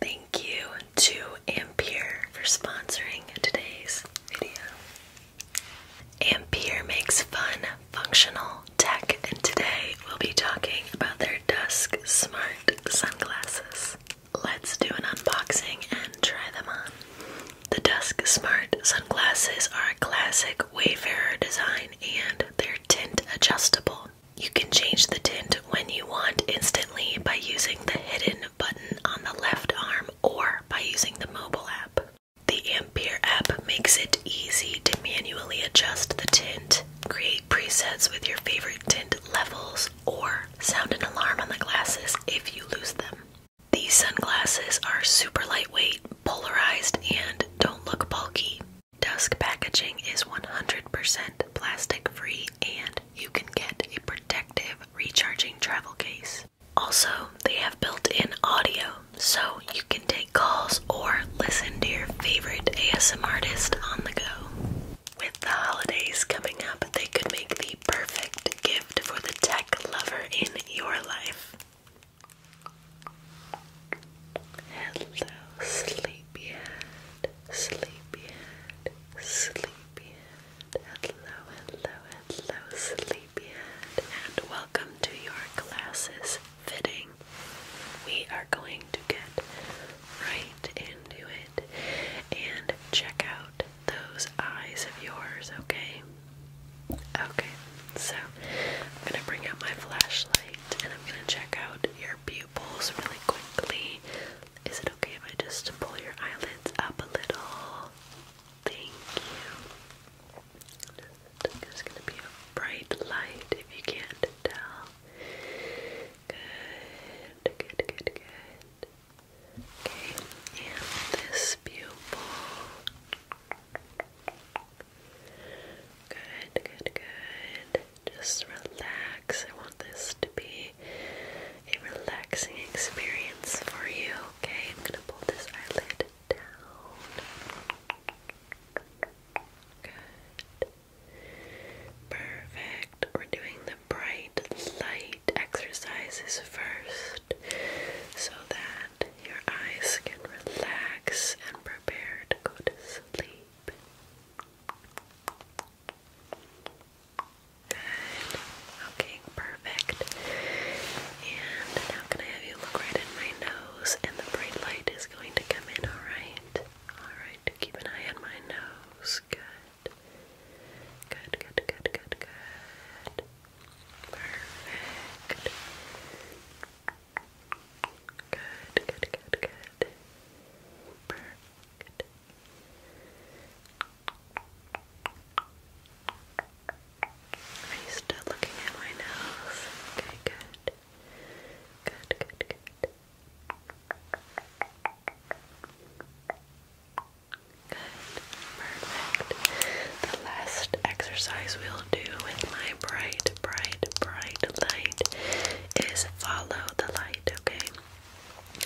Thank you to Ampere for sponsoring today's video. Ampere makes fun, functional tech, and today we'll be talking about their Dusk Smart sunglasses. Let's do an unboxing and try them on. The Dusk Smart sunglasses are a classic Wayfarer design and they're tint adjustable. You can change the tint when you want instantly by using the hidden button on the left arm or by using the mobile app. The Ampere app makes it easy to manually adjust the tint, create presets with your favorite tint levels, or sound an alarm on the glasses if you lose them. These sunglasses are super lightweight, polarized, and don't look bulky. Dusk packaging is 100% plastic free and you can get a protective recharging travel case. Also, they have built-in audio, so you can take calls or listen to your favorite ASM artist on the go. With the holidays coming up, they could make the perfect gift for the tech lover in your life. Hello, sleep. Sleepyhead, Sleepyhead, Sleepyhead. Hello, hello, hello, Sleepyhead, and welcome to your glasses fitting. We are going to get right into it and check out those eyes of yours, okay? Okay, so I'm gonna bring out my flashlight and I'm gonna check out your pupils really quickly. Is it okay if I just pull your eyelids up a little? Thank you. There's gonna be a bright light if you can't tell. Good, good, good, good. Okay, and this pupil. Good, good, good. Just relax, I want this to be a relaxing experience for you, okay? I'm gonna pull this eyelid down. Perfect. We're doing the bright light exercises first so that your eyes can relax and prepare to go to sleep. Good. Okay, perfect. And now can I have you look right in my nose? And the bright light is going to come in, alright? Alright, keep an eye on my nose. Good. Good, good, good, good, good. Perfect. Good, good, good, good. Perfect. Are you still looking at my nose? Okay, Good, good, good. Good. Perfect. The last exercise we'll do with my bright, bright, bright light is follow the light, okay?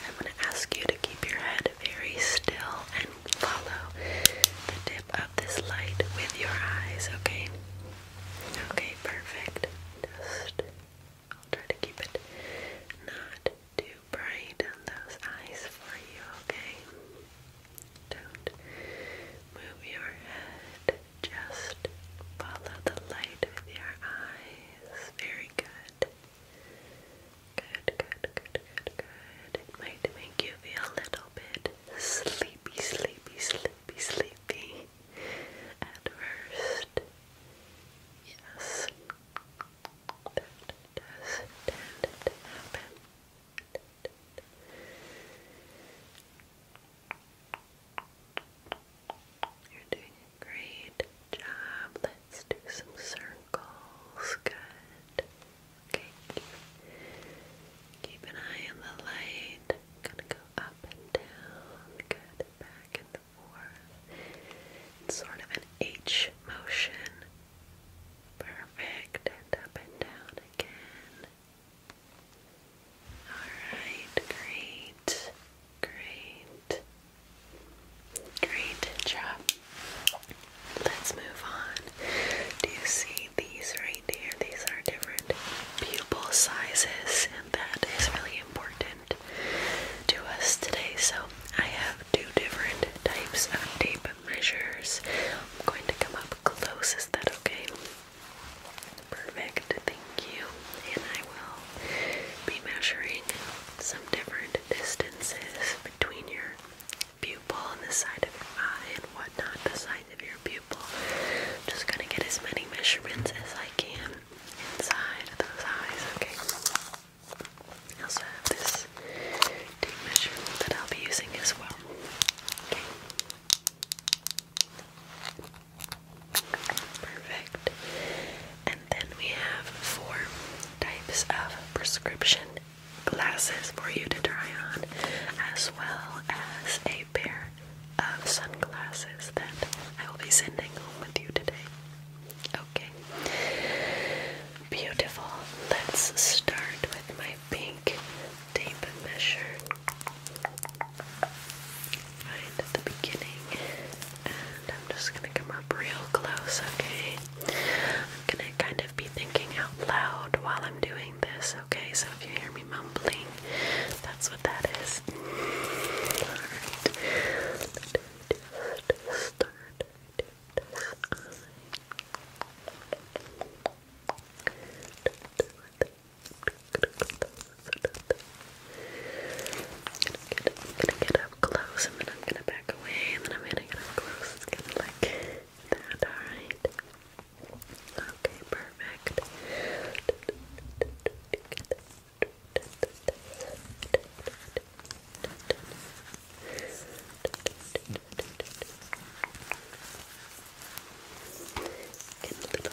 I'm going to ask you to keep your head very still and follow the tip of this light with your eyes, okay? Okay, perfect. Just, I'll try to keep it not too bright on those eyes for you, okay? Don't move your head, just follow the light with your eyes. Very good. Good, good, good, good, good. It might make you feel a little bit sleepy, sleepy, sleepy, sleepy at Yes. That does tend happen. You're doing a great job. Let's do some circles. Good. Okay. Keep, an eye on the light. gonna go up and down. Good. Back and forth. It's sort of an H motion. Perfect. And up and down again. Alright, great, great, great job. Let's move on. Do you see these right here? These are different pupil sizes, and that is really important to us today. So, I have two different types of tape measures. I'm going to come up close. Is that okay? Perfect, thank you. And I will be measuring some different distances between your pupil and the side of your eye and whatnot, the size of your pupil. just gonna get as many measurements as I can inside of those eyes, okay? also have this tape measurement that I'll be using as well. Okay. Perfect. And then we have four types of prescription glasses for you to try on, as well as a pair of sunglasses that I will be sending home with you today. Okay. Beautiful. Let's start with my pink tape measure right at the beginning, and I'm just gonna come up real close, okay? I'm gonna kind of be thinking out loud while I'm doing this, okay? So if you hear me mumbling, that's what that is. Alright. Start this eye. With gonna get up close and then I'm gonna back away and then I'm gonna get up close. It's going like that, alright? Okay, perfect. Get a little tangled. Get a little tangled.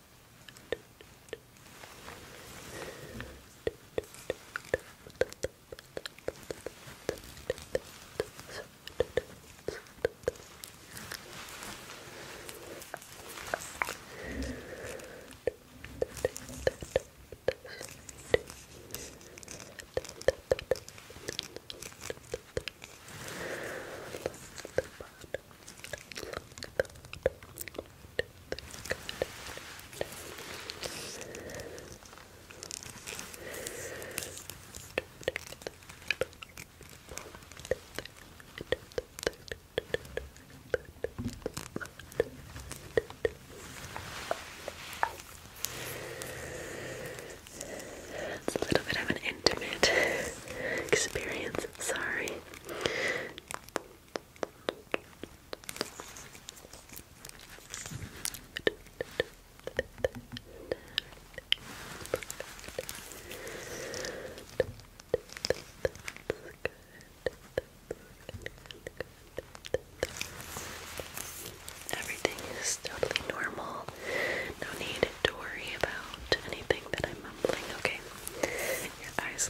the bottom it's a little bit of an intimate experience. Sorry. Everything is totally normal. No need to worry about anything that I'm mumbling. Okay, your eyes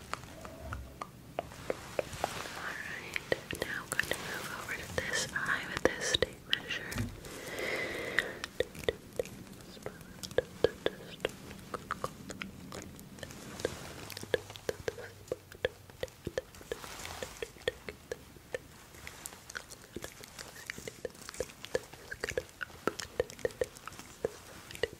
Alright, now I'm going to move over to this eye with this tape measure. Good.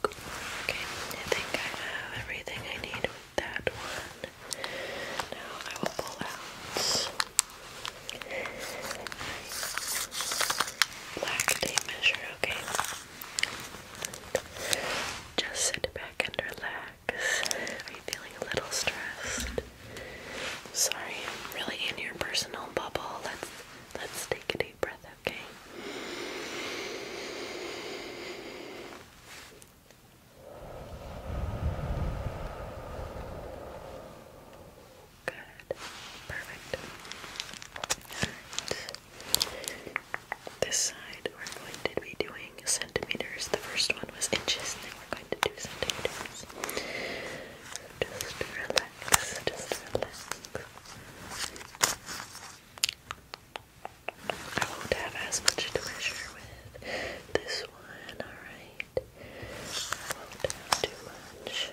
Okay, I think I have everything I need with that one. Now I will pull out black tape measure, okay? Just sit back and relax relax. Are you feeling a little stressed? Sorry, I'm really in your personal bubble. Let's let's take a deep breath, okay? Good. Perfect. All right this side we're going to be doing centimeters. The first one was inches, and then we're going to do centimeters. Just relax, just relax. I won't have as much to measure with this one, alright? won't have too much.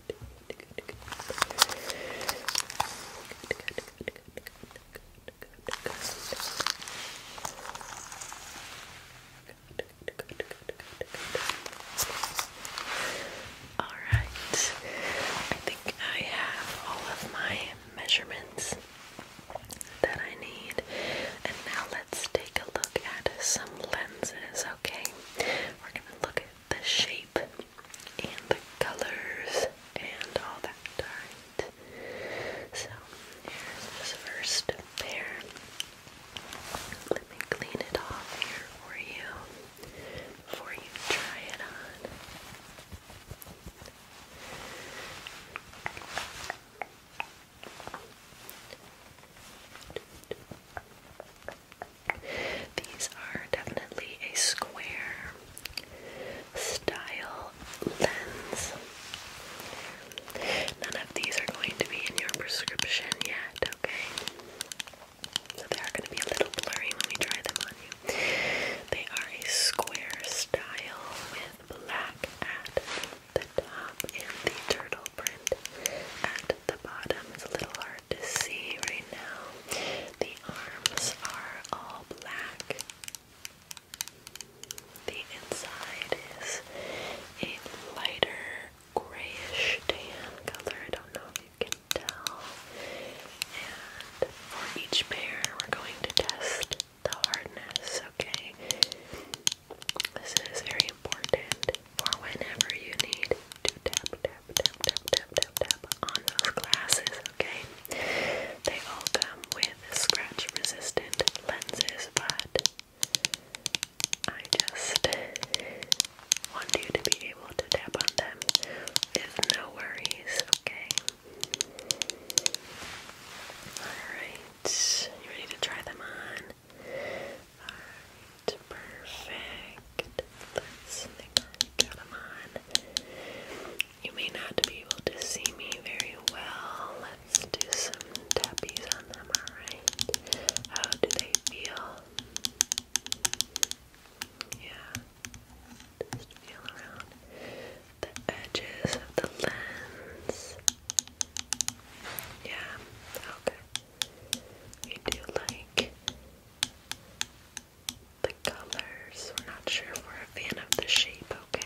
All right. I think I have all of my measurements that I need. And now let's take a look at some lenses, okay? We're going to look the shape and the colors and all that. Alright. So here's this first pair. Let me clean it off here for you before you try it on. These are definitely a square style lens. None of these are going to be in your prescription yet, okay? So they are going to be a little blurry when we try them on you. They are a square style with black at the top and the turtle print at the bottom. It's a little hard to see right now. The arms are all black. The inside is a lighter grayish tan color. I don't know if you can tell. And for each pair, we're going to test the hardness, okay? This is very important for whenever you need to tap, tap, tap, tap, tap, tap, on those glasses, okay? They all come with scratch resistant lenses, but I just want you to be able to tap on them with no worries, okay? Alright, you ready to try them on? perfect. Let's get them on. You may not be able to see me very well. Let's do some tappies on them, alright? How do they feel? Yeah. Just feel around the edges of the lens. Yeah, okay. We do like the colors. We're not sure if we're a fan of the shape, okay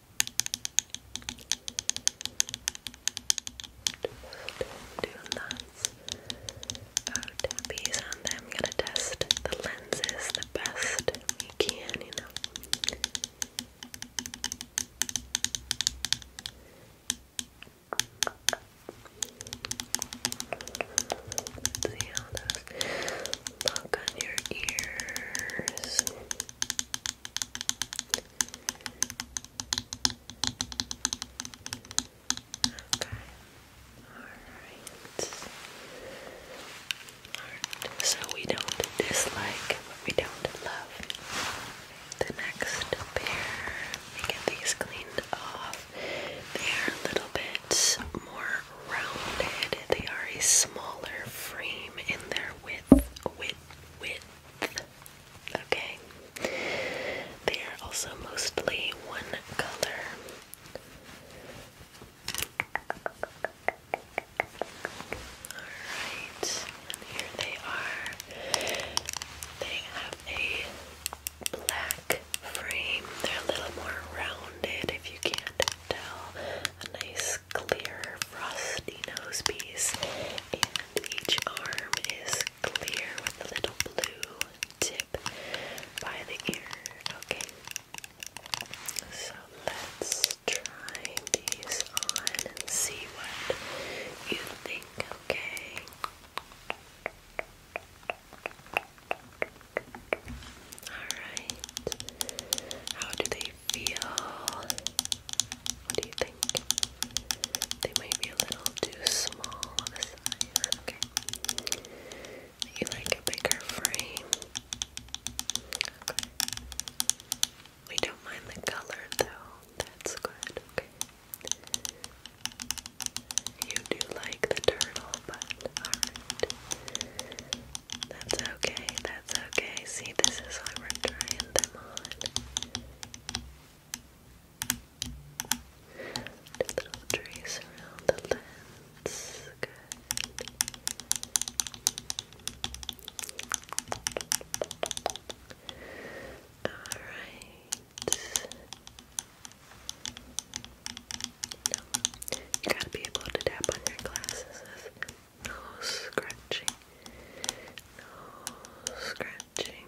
doing that. Out the and I'm gonna test the lenses the best we can, you know. see how those look on your ears. So we don't dislike, but we don't love. The next pair, get these cleaned off. They are a little bit more rounded. They are a smaller frame in their width, width, width, Okay. They are also mostly one color. Alright, here they are. They have a black frame. They're a little more rounded if you can't tell. nice clear frosty nose piece, and each arm is clear with a little blue tip by the ear. Okay, so let's try these on and see what you think. Okay. All right. How do they they feel? do you think? They might be a little too small of a size. Okay. You like a bigger frame? Okay. We don't mind the color though. That's good. Okay. You do like the turtle, but That's okay. That's okay. See, this is why we're trying them on. The little trace around the lens. Good. Alright. You gotta be able to tap on your glasses no scratching. No scratching.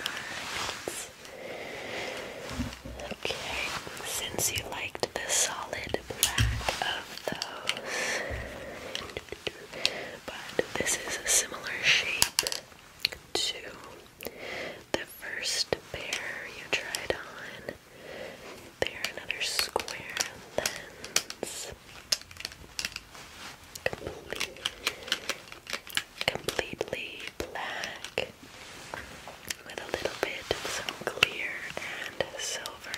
Alright. Okay. Since you liked the solid black of those, but this is a similar shape to the first pair you tried on. There, another square lens. Complete, completely black with a little bit of some clear and silver.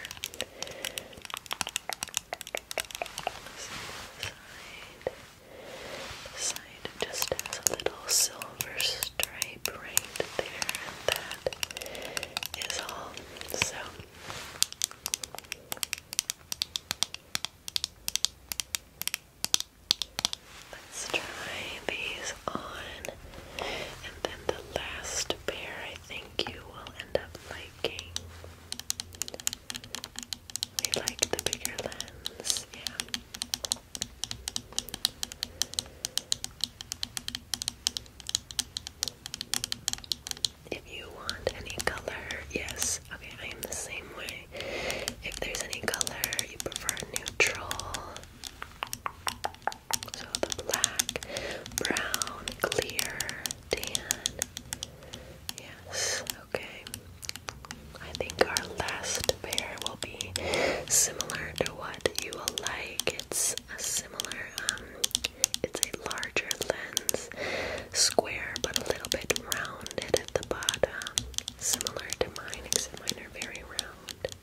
Side, side just a little silver stripe shape all. So, let's try these on, and then the last pair I think you will end up liking. We like the bigger lens, yeah. If you want any color, yes. Okay, I am the same way. If there's any color you prefer neutral, so the black, brown, clear, tan. Yes, okay. I think our last pair will be similar to what you will like. It's a similar, um, it's a larger lens, square but a little bit rounded at the bottom, similar to mine, except mine are very round.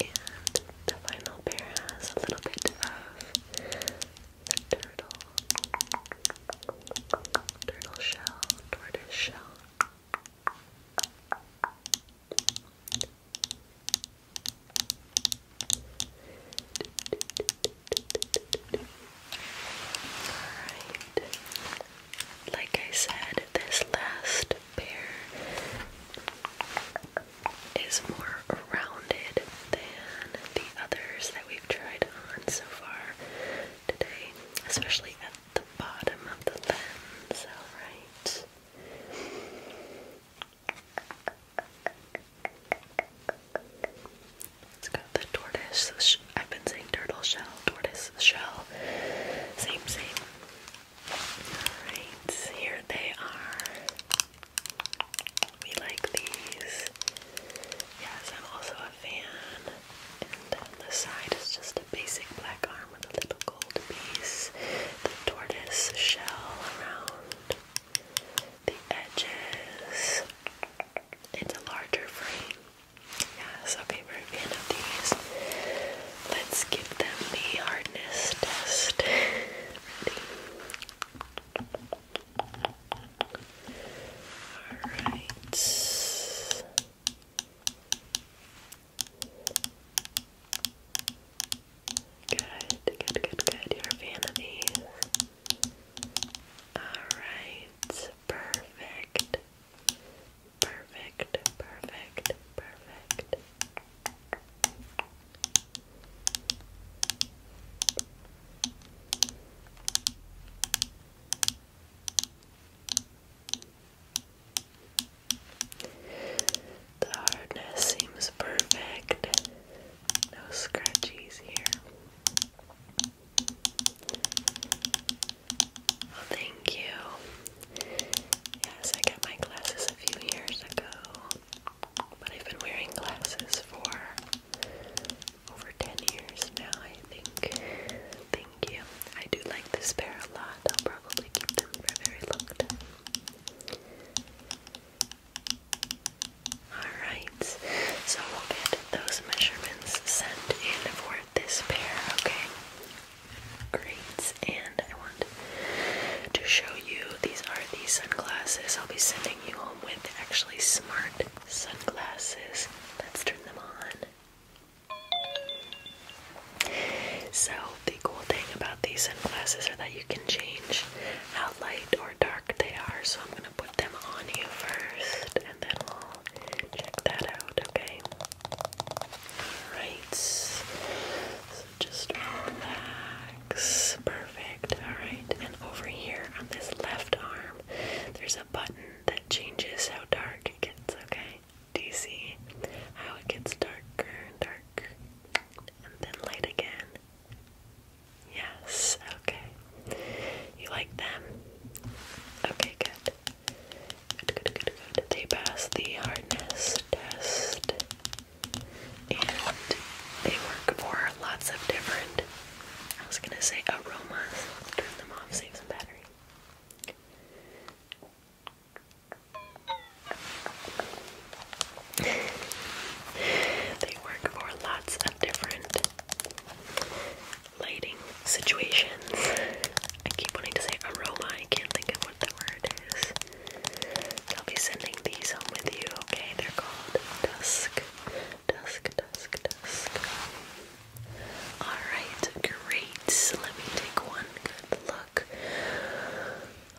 And the final pair has a little bit of turtle, turtle shell, tortoise shell. Like I said, this last pair is more rounded than the others that we've tried on so far today, especially at the bottom of the lens. Alright. It's got the tortoise. I've been saying turtle shell, tortoise shell. Same, same. Alright, here they are. We like these. Yes, I'm also a fan. And the side is just a basic black arm with a little gold piece, the tortoise shell around the edges. It's a larger frame. Yeah, so we're of these. Let's give them the hardness test. Alright. Good, good, good, good. You're a fan of these. Alright, perfect. Perfect, perfect, perfect. The hardness seems perfect. No scratchies here. thank you. Yes, I got my glasses a few years ago, but I've been wearing glasses for over 10 years now, I think thank you. I do like this pair a lot. I'll probably keep them for very long time. Alright, so we'll get those measurements sent in for this pair, okay? Great, and I want to show you these are the sunglasses I'll be sending you home with actually smart sunglasses. Let's turn them on. So, the cool thing about these sunglasses are that you can change how light or dark they are. So, I'm going to put them on you first and then we'll check that out, okay? Alright. So, just relax. Perfect. Alright. And over here on this left arm, there's a button that changes how dark it gets, okay? Do you see how it gets darker and darker and then light again? Yes, okay. You like them? Okay, good. Good, good, good, They passed the hardness test and they work for lots of different, I was gonna say aromas. Turn them off, save some battery they work for lots of different lighting situations. I keep wanting to say aroma, I can't think of what the word is. I'll be sending these home with you, okay? They're called Dusk. Dusk, dusk, dusk. Alright, great lights. Let me take one good look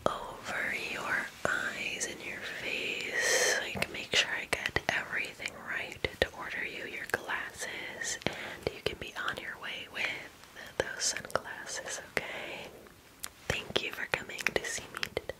over your eyes and your face. Like, make sure I get everything right to order you your glasses, and you can be on your way with those sunglasses, okay? Thank you for coming to see me today.